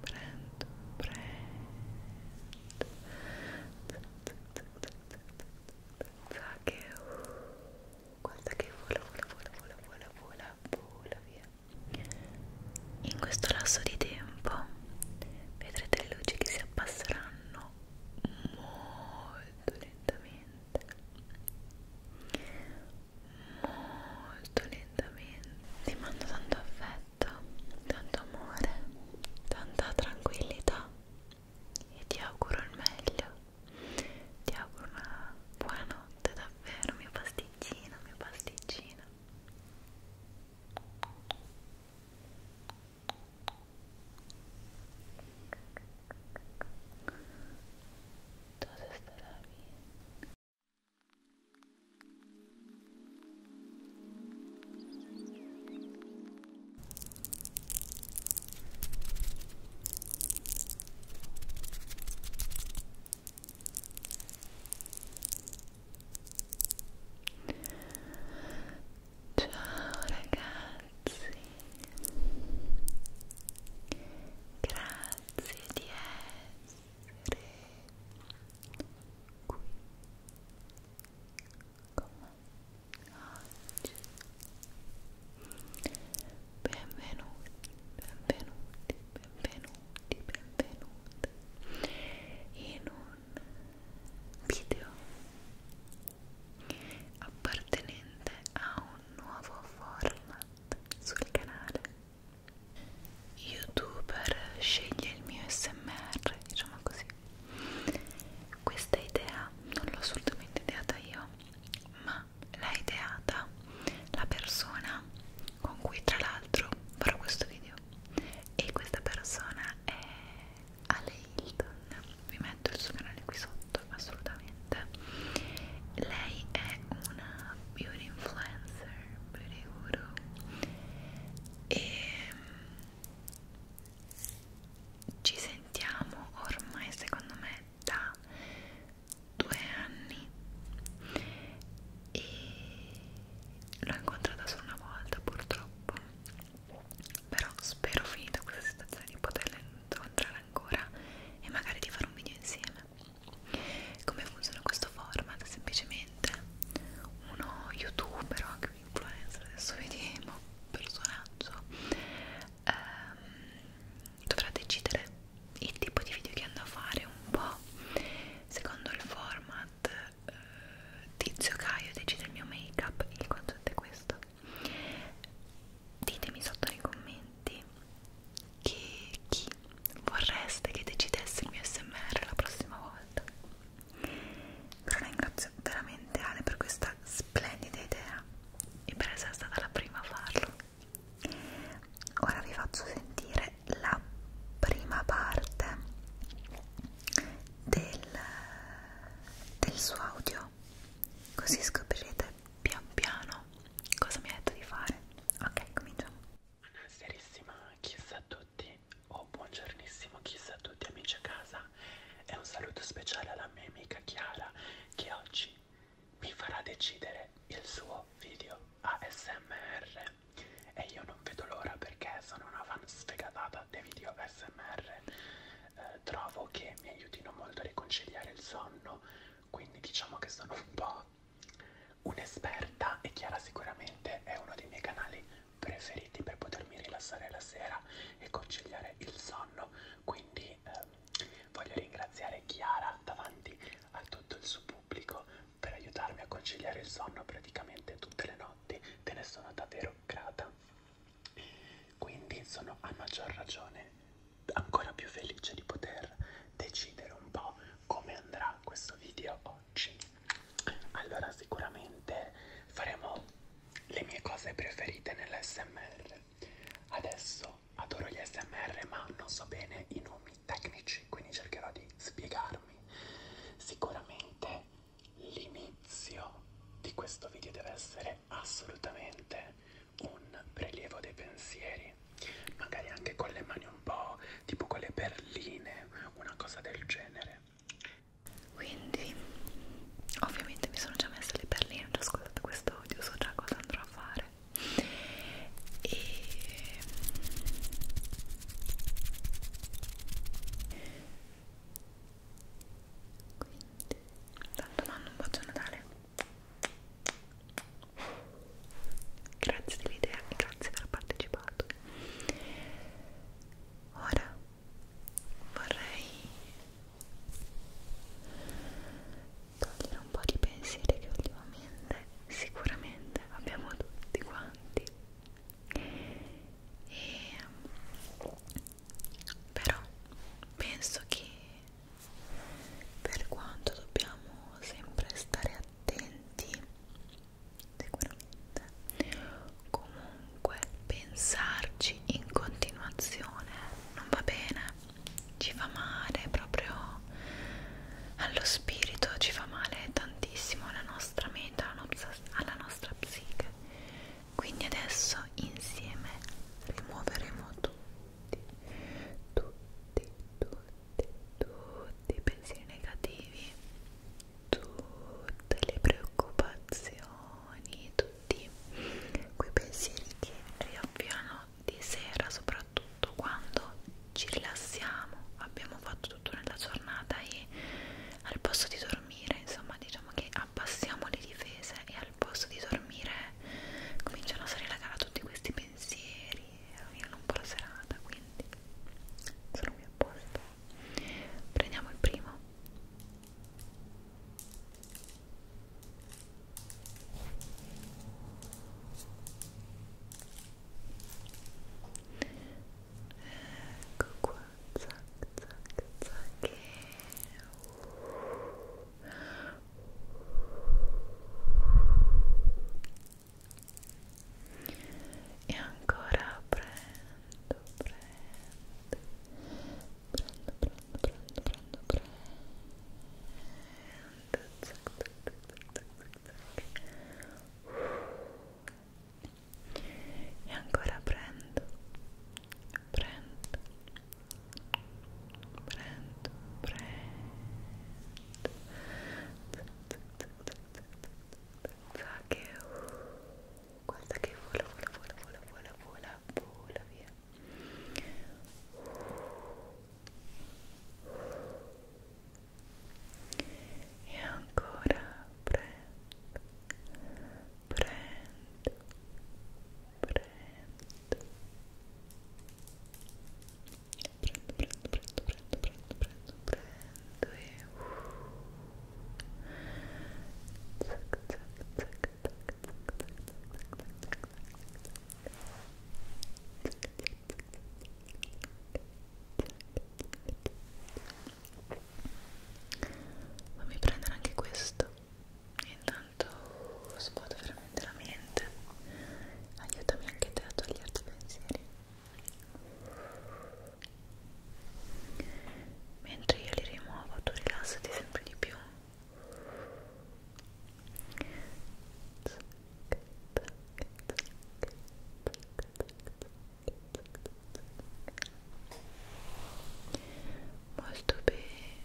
prendo, prendo pensa che uh, guarda che vola, vola, vola, vola, vola, vola via in questo lasso di tempo vedrete le luci che si abbasseranno molto lentamente molto lentamente ti mando tanto affetto tanto, tanto amore, tanta tranquillità e ti auguro il meglio. Ti auguro una buona notte davvero, mia pasticcina, mia pasticcina. Entonces estará bien. Ciao ragazzi, grazie di essere qui con me oggi benvenuti, benvenuti, benvenuti, benvenuti in un video appartenente a un nuovo format sul canale youtuber sceglie il mio smr diciamo così questa idea non l'ho assolutamente ideata io ma l'ha ideata la persona con cui tra l'altro farò questo video e questa persona è Ale Hilton vi metto il suo canale qui sotto assolutamente lei è una beauty influencer, beauty guru e ehm, ci sentiamo ormai secondo me da due anni e l'ho incontrata solo una volta purtroppo però spero finita questa situazione di poterla incontrare ancora e magari di fare un video insieme come funziona questo format? Semplicemente uno youtuber o anche un influencer, adesso vediamo, personaggio, ehm, dovrà decidere il tipo di video che andrà a fare un po' secondo il format. Eh, tizio Caio decide il mio make up, il concetto è questo. Ditemi sotto nei commenti che chi vorreste che decidesse il mio smr la prossima volta però ringrazio veramente Ale per questa splendida idea e per essere stata la prima a farlo ora vi faccio sentire la prima parte del, del suo audio così scoprirete pian piano cosa mi ha detto di fare ok cominciamo Buonasera, chissà a tutti, o oh, buongiornissimo, chissà a tutti amici a casa e un saluto speciale alla mia amica Chiara che oggi mi farà decidere il suo video ASMR e io non vedo l'ora perché sono una fan sfegatata dei video ASMR, eh, trovo che mi aiutino molto a riconciliare il sonno, quindi diciamo che sono un po' un'esperta e Chiara sicuramente è uno dei miei canali preferiti per potermi rilassare la sera e conciliare il sonno, quindi ehm, voglio ringraziare Chiara davanti a tutto il suo pubblico per aiutarmi a conciliare il sonno praticamente tutte le notti, te ne sono davvero grata. Quindi sono a maggior ragione ancora più felice di poter decidere un po' come andrà questo video oggi? Allora sicuramente faremo le mie cose preferite nell'SMR. Adesso adoro gli SMR ma non so bene i nomi tecnici, quindi cercherò di spiegarmi. Sicuramente l'inizio di questo video deve essere assolutamente un prelievo dei pensieri magari anche con le mani un po' tipo con le perline, una cosa del genere. Quindi, ovviamente mi sono già messa le perline, ho già ascoltato questo audio, so già cosa andrò a fare. E quindi tanto mando un bacio a Natale Grazie dell'idea e grazie per aver partecipato. Ora vorrei togliere un po' di pensieri che ultimamente sicuramente abbiamo tutti quanti. E, però penso che per quanto dobbiamo sempre stare attenti sicuramente comunque pensarci in continuazione non va bene ci fa male proprio allo spirito ci fa male tantissimo alla nostra mente alla nostra psiche quindi adesso insieme rimuoveremo tutti tutti tutti tutti i pensieri negativi, tutte le preoccupazioni, tutti quei pensieri che riavviano di sera, soprattutto quando ci rilassiamo, abbiamo fatto tutto nella giornata e al posto di dormire, insomma, diciamo che abbassiamo le difese e al posto di dormire cominciano a salire la gara tutti questi pensieri rovinano un po' la serata quindi sono qui apposta prendiamo il primo ecco qua zac zac zac e ancora prendo, prendo, prendo, prendo, prendo, prendo, prendo, zac, zac, zac, zac, zac. e ancora prendo, prendo, prendo, prendo, zac, zac, zac, pensa che guarda che vola vola vola vola vola vola vola via e ancora prendo prendo prendo prendo, prendo, prendo, prendo, prendo, prendo, prendo e uh, zac, zac, zac, zac, zac, Fammi prendere anche questo e intanto svuoto veramente la mente aiutami anche te a toglierti i pensieri mentre io li rimuovo tu rilassati sempre di più molto bene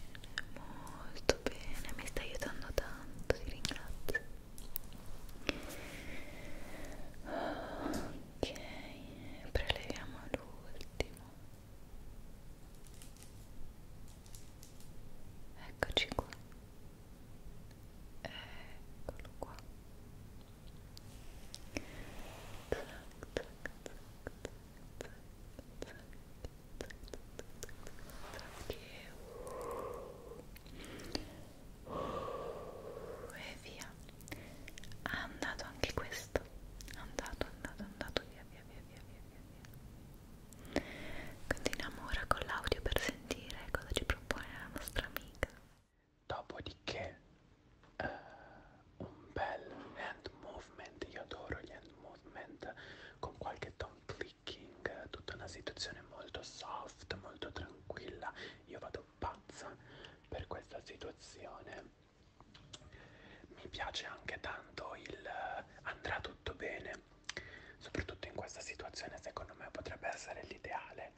molto bene mi stai aiutando tanto ti ringrazio ok preleviamo l'ultimo eccoci qua eccolo qua tac, tac, tac, tac, tac, tac, tac, tac, tac, tac, e via ha andato anche questo andato andato andato via via via via via via continuiamo ora con l'audio per sentire cosa ci propone la nostra amica dopodiché uh, un bel hand movement io adoro gli hand movement con qualche Tom Cleese picking, tutta una situazione molto soft, molto tranquilla. Io vado pazza per questa situazione. Mi piace anche tanto il eh, andrà tutto bene. Soprattutto in questa situazione secondo me potrebbe essere l'ideale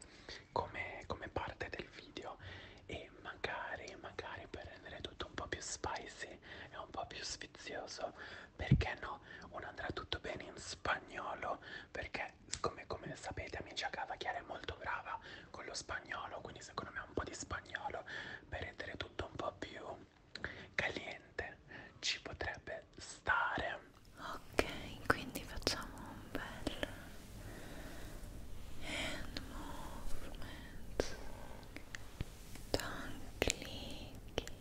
come, come parte del video e magari, magari per rendere tutto un po' più spicy e un po' più sfizioso, perché no? Un andrà tutto bene in spagnolo, perché Beh, come, come sapete amici a casa Chiara è molto brava con lo spagnolo, quindi secondo me un po' di spagnolo per rendere tutto un po' più caliente ci potrebbe stare. Ok, quindi facciamo un bel hand movement, tongue clicking,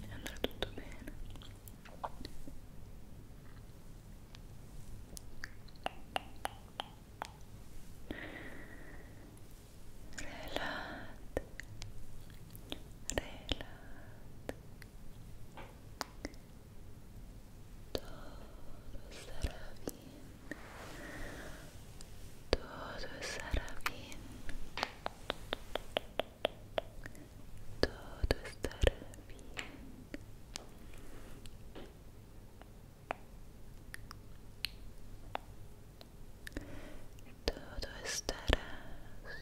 e andrà tutto bene relate relate tutto sarà bene todo estará bien todo estará bien todo estará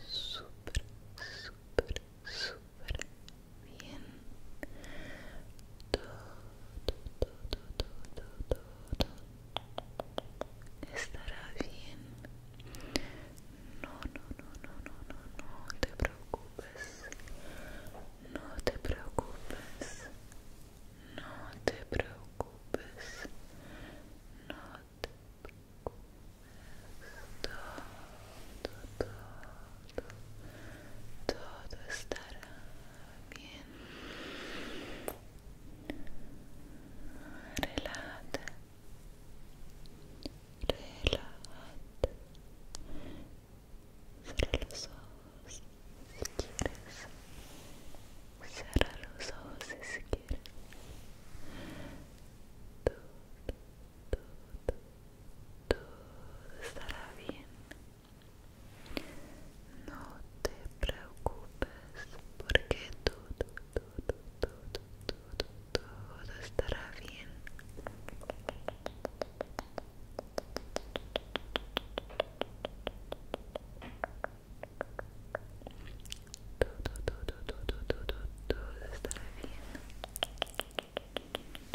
super super super bien todo, todo, todo, todo estará bien. No, no, no, no, no, no, no te preocupes. No te preocupes. No te preocupes. No te preocupes. todo, todo, todo estará Bien. Relájate. Relájate. Cierra los ojos si quieres. Cierra los ojos si quieres. tú tú tú estará bien. No te preocupes porque todo, todo, todo, todo, todo estará bien. Todo, todo, todo, todo, todo, estará bien.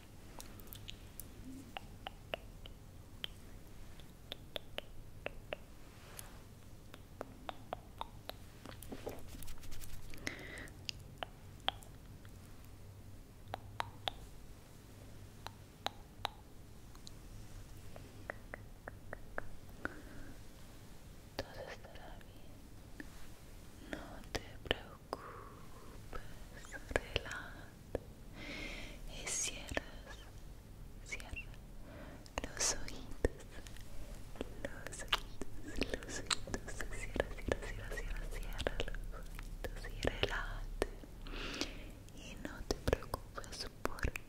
Todo estará bien. No te preocupes preocupes, relájate y cierras, cierra los oídos los oídos los oídos cierras cierras cierra, cierras cierras los oídos y relate. y no te preocupes porque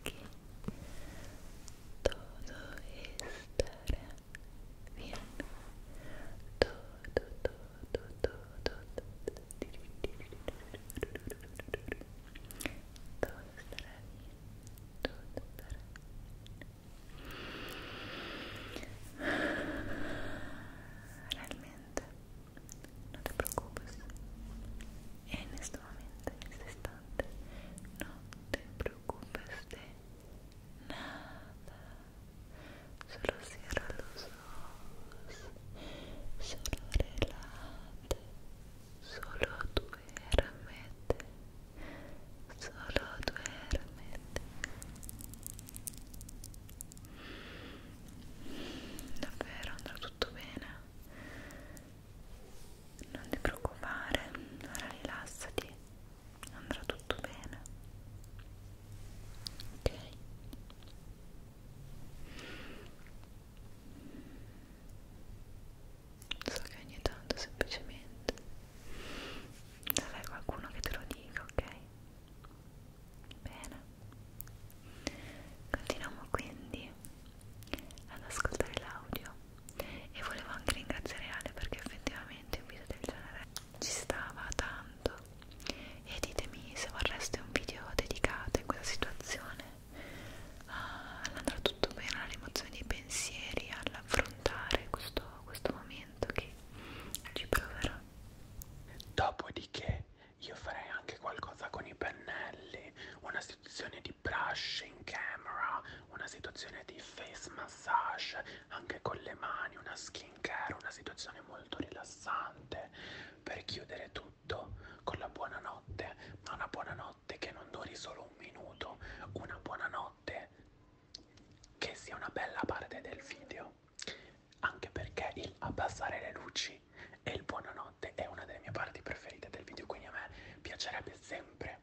todo estará bien todo, todo, todo, todo, todo, todo estará bien, todo estará bien realmente no te preocupes en este momento, en este instante no te preocupes de nada, solo sera lo so sono relate solo duermete solo duermete davvero andrà tutto bene non ti preoccupare ora rilassati andrà tutto bene ok so che ogni tanto semplicemente sarai qualcuno che te lo dica ok bene continuiamo quindi ad ascoltare l'audio e volevo anche ringraziare Ale perché effettivamente un video del genere ci stava tanto e ditemi se vorreste un video dedicato in questa situazione ah, andrà tutto bene alla rimozione dei pensieri all'affrontare questo, questo momento che ci proverò dopodiché io farei anche qualcosa con i pennelli una situazione di brush in camera una situazione di face massage anche con le mani, una skin care, una situazione molto rilassante per chiudere tutto con la buonanotte, ma una buonanotte che non duri solo un minuto, una buonanotte che sia una bella parte del video, anche perché il abbassare le luci e il buonanotte è una delle mie parti preferite del video, quindi a me piacerebbe sempre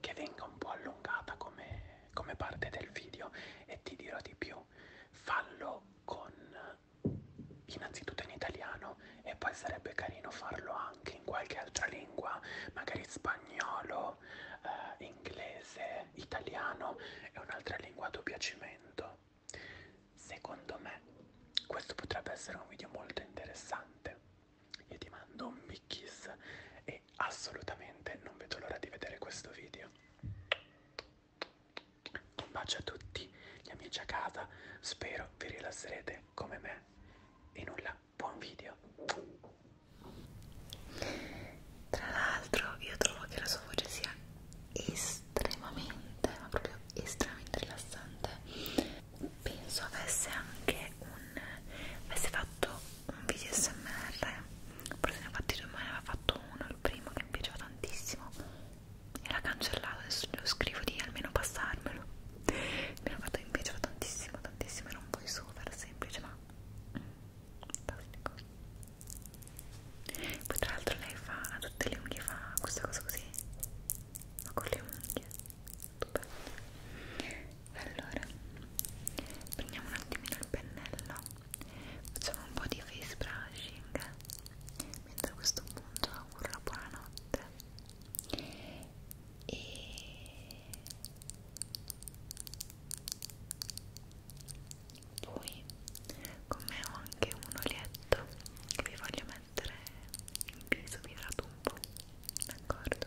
che venga un po' allungata come come parte del video e ti dirò di più fallo con innanzitutto in italiano e poi sarebbe carino farlo anche in qualche altra lingua magari spagnolo eh, inglese italiano e un'altra lingua a tuo piacimento secondo me questo potrebbe essere un video molto interessante io ti mando un big kiss e e assolutamente non vedo l'ora di vedere questo video. Un bacio a tutti gli amici a casa, spero vi rilasserete come me e nulla, buon video. Tra l'altro io trovo che la sua voce sia estremamente, ma proprio estremamente rilassante. Penso avesse anche un avesse fatto un video smr forse ne ho fatti due ma ne aveva fatto uno il primo che mi piaceva tantissimo e l'ha cancellato adesso lo scrivo di almeno passarmelo mi hanno fatto mi piaceva tantissimo tantissimo era un po' super semplice ma fantastico poi tra l'altro lei fa a tutte le unghie fa questa cosa così ma con le unghie stupendo allora prendiamo un attimino il pennello facciamo un po' di face brushing mentre a questo punto auguro buonanotte e poi con me ho anche un olietto che vi voglio mettere in viso, vi tratto un po' d'accordo?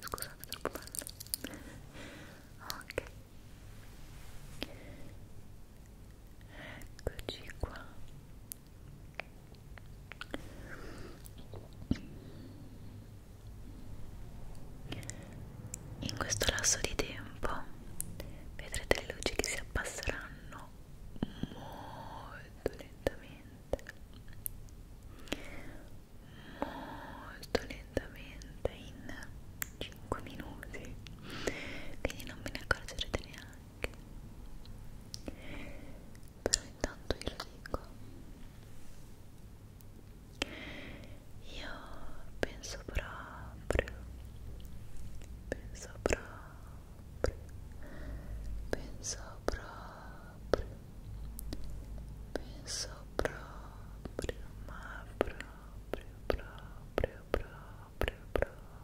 Scusate, è troppo bello. Ok. Eccoci qua. In questo lasso di tempo vedrete le luci che si abbasseranno molto lentamente molto lentamente in 5 minuti quindi non me ne accorgerete neanche però intanto io lo dico io penso proprio penso proprio penso proprio penso proprio ma proprio proprio proprio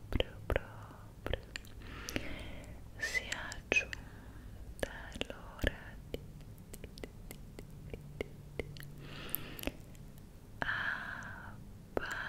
proprio proprio si è aggiunta l'ora di, di, di, di, di, di abbassare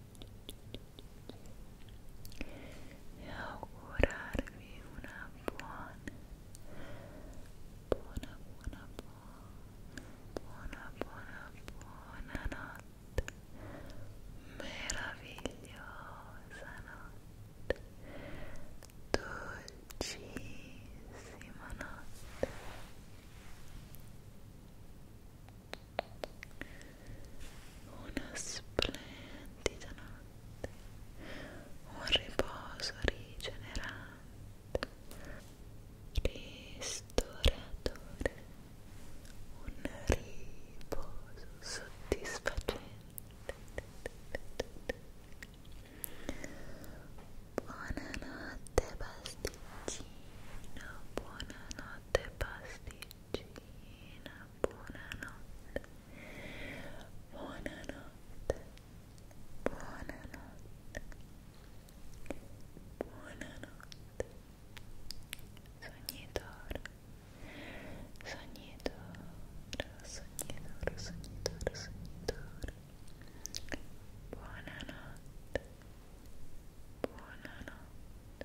e augurarvi una buona buona buona buona buona buona notte meravigliosa notte dolcissima notte una splendida notte, un riposo rigenerante, ristoratore, un riposo soddisfacente. Buonanotte pasticcino, buonanotte buonanotte pasticcina buonanotte buonanotte buonanotte buonanotte sognitore sognitore sognitore sognitore sognitore buonanotte buonanotte buonanotte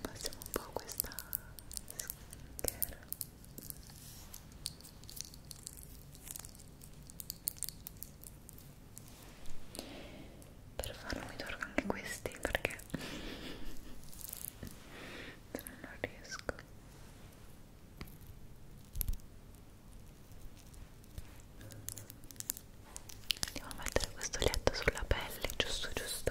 passiamo un po' a questa skincare per farlo mi torno anche questi perché se no non riesco andiamo a mettere questo letto sulla pelle giusto giusto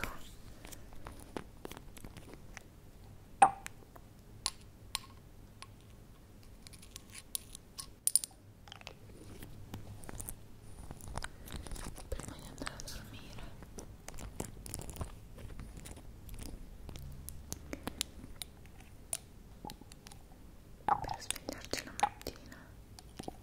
prima di andare a dormire per svegliarci la mattina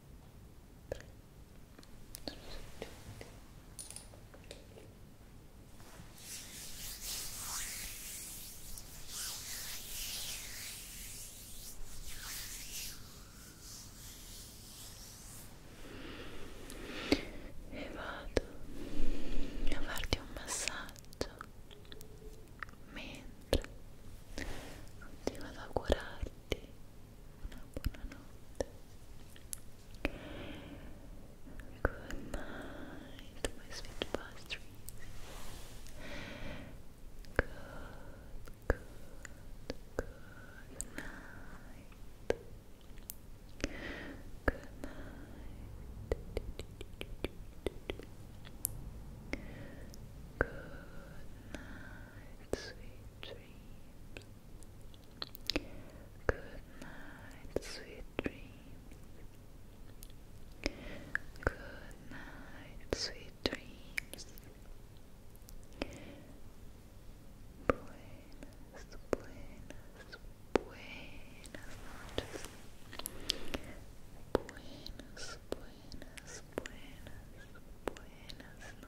sono soggiunti e vado a farti un massaggio mentre continuo ad augurarti good night my sweet pastries good, good, good night good night Good night, sweet dreams. Good night, sweet dreams. Good night, sweet dreams. Buenas, buenas, buenas noches. Buenas, buenas, buenas, buenas noches.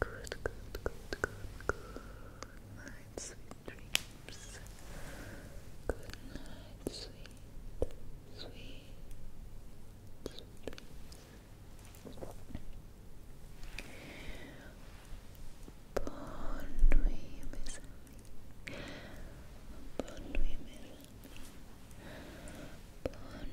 Good, good, good, good, good night, sweet dreams. Good night, sweet, sweet, sweet dreams. Bonne nuit, mes amis. Bonne nuit, mes amis. Bonne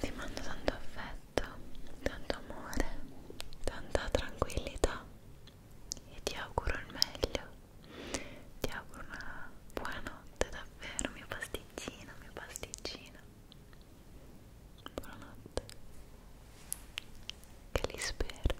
Ti mando tanto affetto, tanto amore, tanta tranquillità e ti auguro il meglio. Ti auguro una buonanotte davvero, mio pasticcino, mio pasticcino. Buonanotte. Che li spero.